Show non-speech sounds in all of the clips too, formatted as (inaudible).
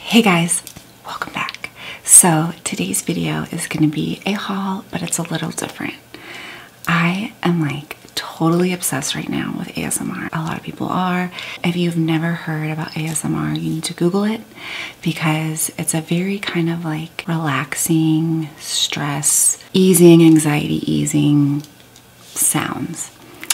Hey guys, welcome back. So today's video is gonna be a haul, but it's a little different. I am like totally obsessed right now with ASMR. A lot of people are. If you've never heard about ASMR, you need to Google it because it's a very kind of like relaxing, stress, easing, anxiety easing sounds.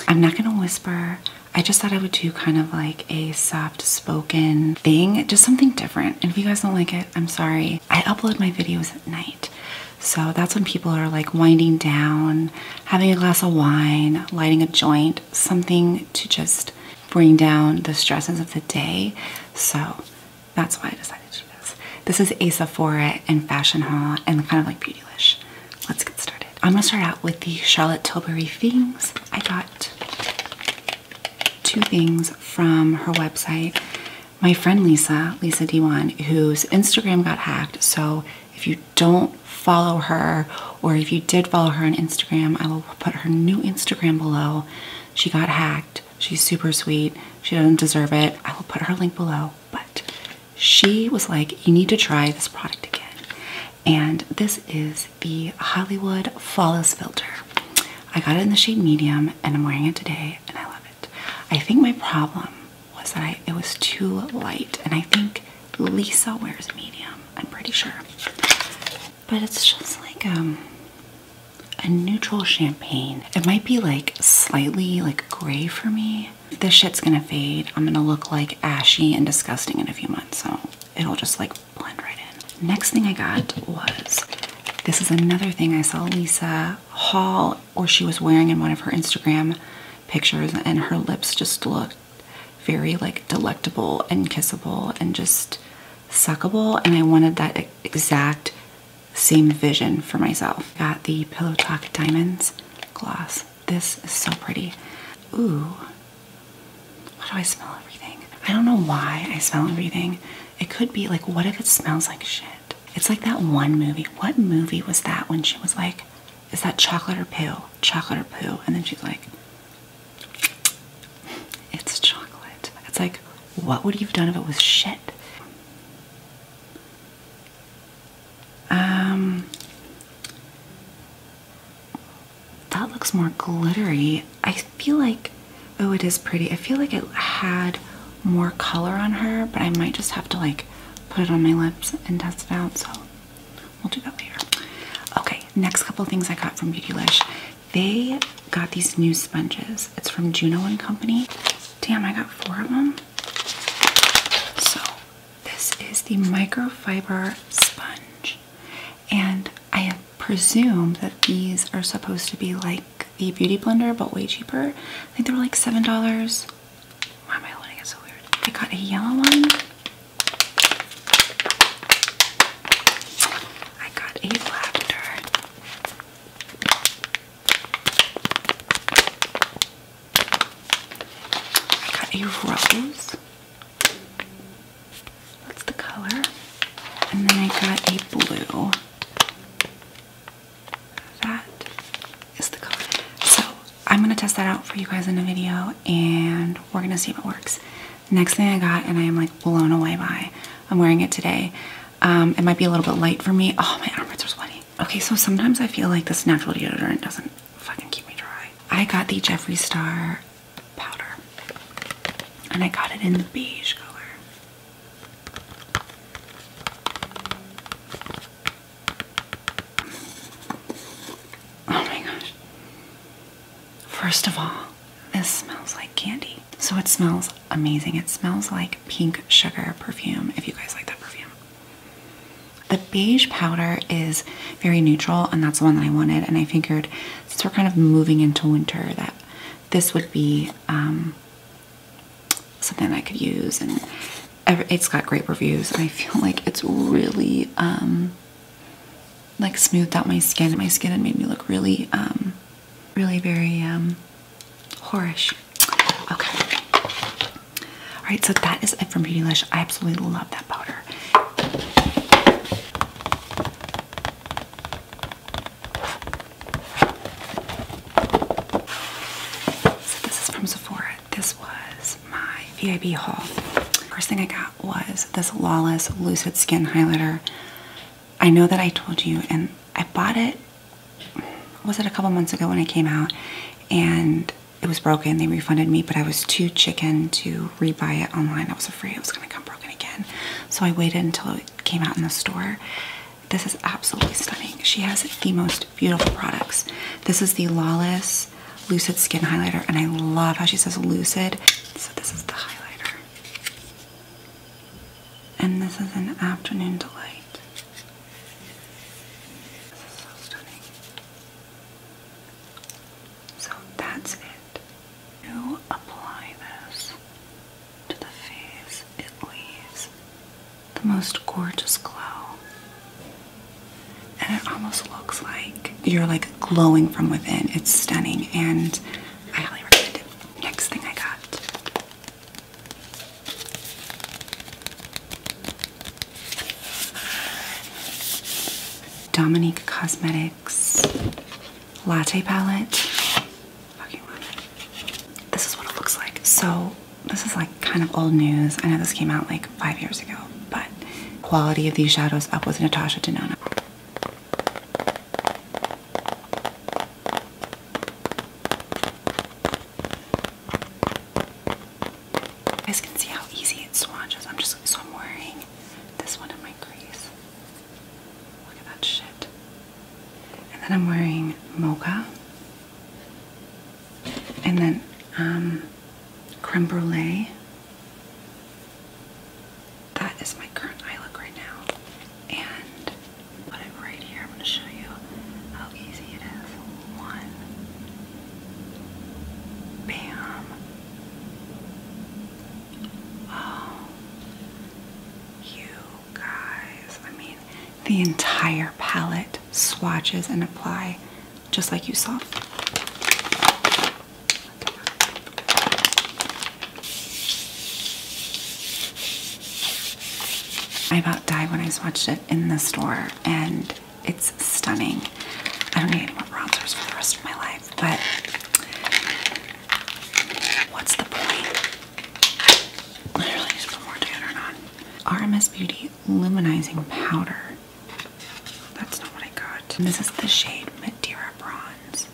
I'm not gonna whisper. I just thought I would do kind of like a soft spoken thing, just something different. And if you guys don't like it, I'm sorry. I upload my videos at night. So that's when people are like winding down, having a glass of wine, lighting a joint, something to just bring down the stresses of the day. So that's why I decided to do this. This is a Sephora and fashion haul and kind of like Beautylish let's get started. I'm gonna start out with the Charlotte Tilbury things. I got two things from her website. My friend Lisa, Lisa d whose Instagram got hacked. So if you don't follow her, or if you did follow her on Instagram, I will put her new Instagram below. She got hacked. She's super sweet. She doesn't deserve it. I will put her link below. But she was like, you need to try this product again. And this is the Hollywood Fallas Filter. I got it in the shade medium and I'm wearing it today and I love it. I think my problem was that it was too light and I think Lisa wears medium, I'm pretty sure. But it's just like um, a neutral champagne. It might be like slightly like gray for me. This shit's gonna fade. I'm gonna look like ashy and disgusting in a few months, so it'll just like blend right in. Next thing I got was this is another thing I saw Lisa haul or she was wearing in one of her Instagram pictures and her lips just looked very like delectable and kissable and just suckable and I wanted that exact same vision for myself. Got the Pillow Talk Diamonds gloss. This is so pretty. Ooh, why do I smell everything? I don't know why I smell everything. It could be like, what if it smells like shit? It's like that one movie. What movie was that when she was like, is that chocolate or poo? Chocolate or poo? And then she's like, it's chocolate. It's like, what would you have done if it was shit? Um, that looks more glittery. I feel like, oh, it is pretty. I feel like it had more color on her, but I might just have to like put it on my lips and test it out. So we'll do that later. Okay, next couple things I got from Beautylish. They got these new sponges. It's from Juno and Company. Damn, I got four of them. So this is the microfiber sponge, and I presume that these are supposed to be like the beauty blender but way cheaper. I think they were like $7. Why am I holding it so weird? I got a yellow one. I got a lavender. I got a rose. What's the color. And then I got a blue. That is the color. So I'm going to test that out for you guys in a video and we're going to see if it works. Next thing I got, and I am like blown away by, I'm wearing it today. Um, it might be a little bit light for me. Oh, my armpits are sweaty. Okay, so sometimes I feel like this natural deodorant doesn't fucking keep me dry. I got the Jeffree Star powder. And I got it in the beige color. Oh my gosh. First of all, this smells like candy. So it smells amazing. It smells like pink sugar perfume, if you guys like that perfume. The beige powder is very neutral, and that's the one that I wanted. And I figured since we're kind of moving into winter, that this would be um, something I could use. And it's got great reviews, and I feel like it's really um, like smoothed out my skin, my skin, and made me look really, um, really very horish. Okay. All right, so that is it from Beautylish. I absolutely love that powder. So this is from Sephora. This was my VIB haul. First thing I got was this Lawless Lucid Skin Highlighter. I know that I told you and I bought it, was it a couple months ago when it came out? And it was broken. They refunded me, but I was too chicken to rebuy it online. I was afraid it was gonna come broken again. So I waited until it came out in the store. This is absolutely stunning. She has the most beautiful products. This is the Lawless Lucid Skin Highlighter, and I love how she says Lucid. So this is the highlighter. And this is an Afternoon Delight. This is so stunning. So that's it. You apply this to the face, it leaves the most gorgeous glow. And it almost looks like you're like glowing from within. It's stunning and I highly recommend it. Next thing I got Dominique Cosmetics Latte Palette. This is what it looks like. So, this is like kind of old news. I know this came out like five years ago, but quality of these shadows up with Natasha Denona. You guys can see how easy it swatches. I'm just so I'm wearing this one in my crease. Look at that shit. And then I'm wearing mocha. And then um, creme brulee. That is my current eye look right now. And put it right here. I'm going to show you how easy it is. One. Bam. Oh, you guys. I mean, the entire palette swatches and apply just like you saw. I about died when I swatched it in the store and it's stunning. I don't need any more bronzers for the rest of my life, but what's the point? I really need put more toner on. RMS Beauty Luminizing Powder. That's not what I got. this is the shade Madeira Bronze.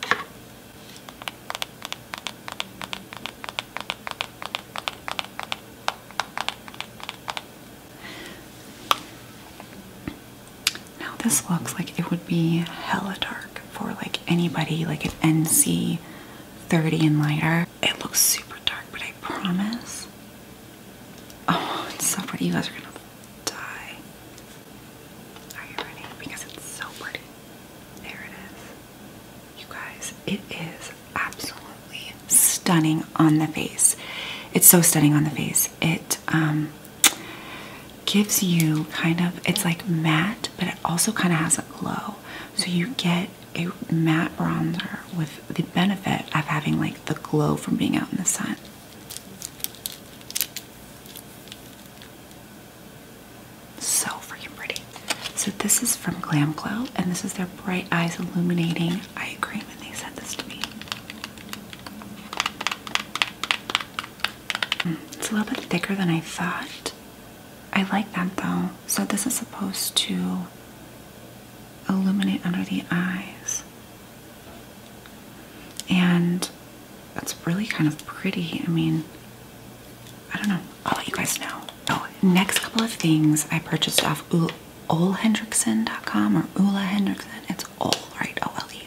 Now this looks like it would be hella dark for like anybody like an NC 30 and lighter. It looks super dark, but I promise. Oh, it's so pretty. You guys are gonna die. Are you ready? Because it's so pretty. There it is. You guys, it is absolutely stunning on the face. It's so stunning on the face. It um, gives you kind of it's like matte, but it also kind of has a glow. So you get a matte bronzer with the benefit of having like the glow from being out in the sun. So freaking pretty. So this is from Glam Glow and this is their Bright Eyes Illuminating Eye Cream and they sent this to me. It's a little bit thicker than I thought. I like that though. So, this is supposed to illuminate under the eyes. And that's really kind of pretty. I mean, I don't know. I'll let you guys know. Oh, next couple of things I purchased off Ola Hendrickson.com or Ula Hendrickson. If that's all, right? O L E,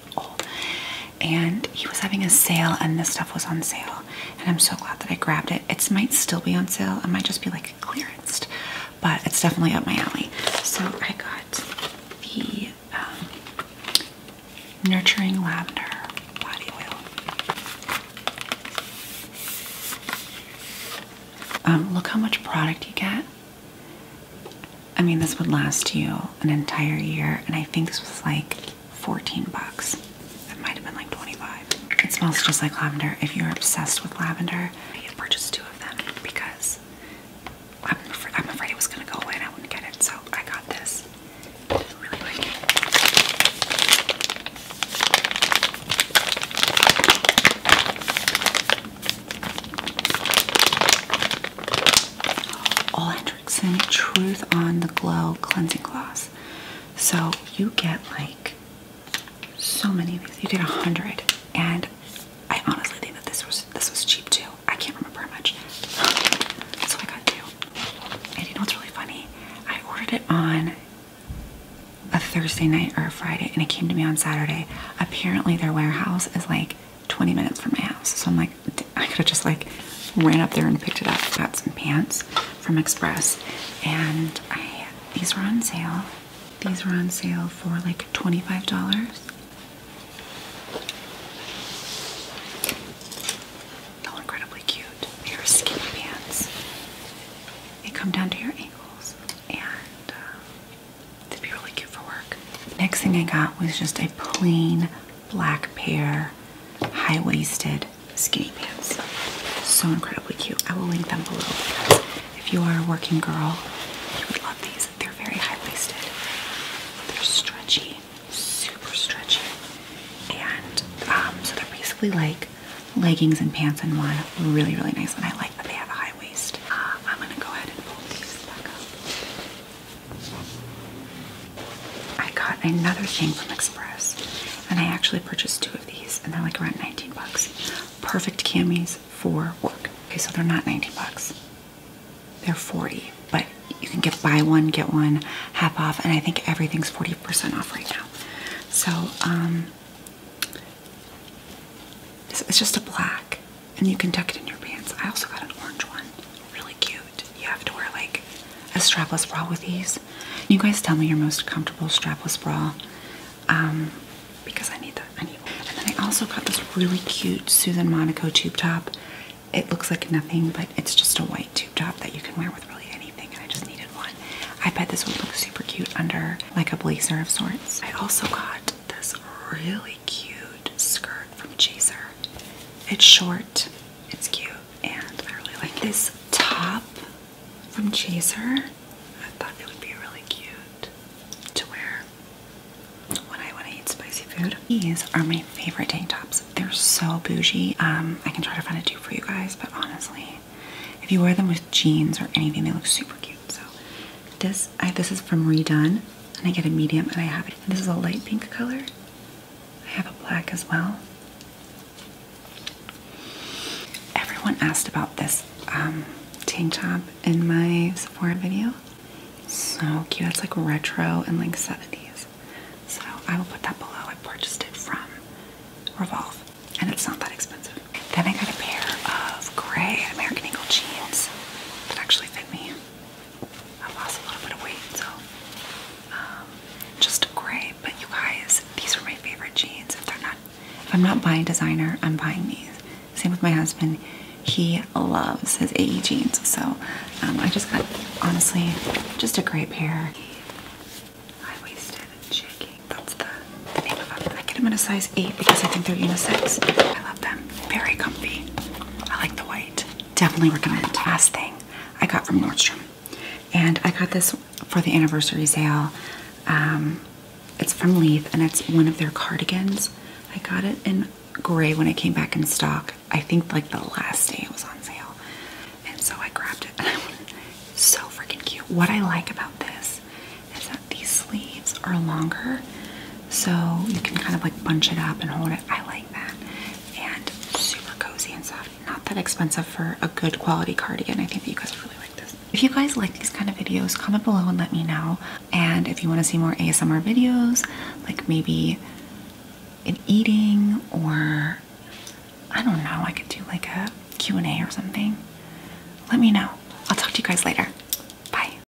And he was having a sale, and this stuff was on sale. And I'm so glad that I grabbed it. It might still be on sale. It might just be like cleared, but it's definitely up my alley. So I got the um, Nurturing Lavender Body Oil. Um, look how much product you get I mean, this would last you an entire year, and I think this was like 14 bucks. It might have been like 25. It smells just like lavender. If you're obsessed with lavender, you can purchase two of them because I'm, afraid it was gonna go away and I wouldn't get it, so I got this. really like Ole Hendrickson Truth on the Glow Cleansing Gloss. So you get like so many of these. You get a hundred, and I honestly think that this was this was cheap too. I can't remember how much. (sighs) That's what I got two. And you know what's really funny? I ordered it on a Thursday night or a Friday, and it came to me on Saturday. Apparently, their warehouse is like 20 minutes from my house. So I'm like, I could have just like ran up there and picked it up. Got some pants from Express and I, these were on sale. These were on sale for like $25. They're incredibly cute. They are skinny pants. They come down to your ankles and um, they be really cute for work. Next thing I got was just a plain black pair, high-waisted skinny pants. So incredibly cute. I will link them below if you are a working girl, you would love these. They're very high-waisted. They're stretchy, super stretchy. And um, so they're basically like leggings and pants in one. Really, really nice. And I like that they have a high uh, I'm gonna go ahead and pull these back up. I got another thing from Express, and I actually purchased two of these, and they're like around 19 bucks. Perfect camis for work. Okay, so they're not 19 bucks. They're 40, but you can get buy one, get one, half off, and I think everything's 40% off right now. So, um, it's just a black and you can tuck it in your pants. I also got an orange one, really cute. You have to wear like a strapless bra with these. You guys tell me your most comfortable strapless bra, um, because I need that. I need. One. And then I also got this really cute Susan Monaco tube top. It looks like nothing, but it's just a white tube top that you can wear with really anything. And I just needed one. I bet this would look super cute under like a blazer of sorts. I also got this really cute skirt from Chaser. It's short, it's cute, and I really like this top from Chaser. I thought it would be really cute to wear when I want to eat spicy food. These are my favorite tank tops. They're so bougie. Um, I can try to find a two for you guys, but honestly, if you wear them with jeans or anything, they look super cute. So this this is from Redone, and I get a medium, and I have it. This is a light pink color. I have a black as well. Everyone asked about this um, tank top in my Sephora video. So cute. It's like retro and like 70s. So I will put that below. I purchased it from Revolve, and it's not that expensive. Then I got a pair of gray American Eagle jeans that actually fit me. I lost a little bit of weight, so um, just gray. But you guys, these are my favorite jeans. If they're not, if I'm not buying designer, I'm buying these. Same with my husband; he loves his AE jeans. So um, I just got, honestly, just a great pair. High waisted jigging. That's the name of them. I get them in a size eight because I think they're unisex. I love them. Very comfy. I like the white. Definitely recommend. Last thing I got from Nordstrom. And I got this for the anniversary sale. Um, it's from Leith, and it's one of their cardigans. I got it in gray when it came back in stock. I think like the last day it was on sale. And so I grabbed it so freaking cute. What I like about this is that these sleeves are longer so you can kind of like bunch it up and hold it. I like that. And super cozy and soft. Not that expensive for a good quality cardigan. I think you guys would really like this. If you guys like these kind of videos, comment below and let me know. And if you want to see more ASMR videos, like maybe in eating or I don't know, I could do like a Q&A or something. Let me know. I'll talk to you guys later. Bye.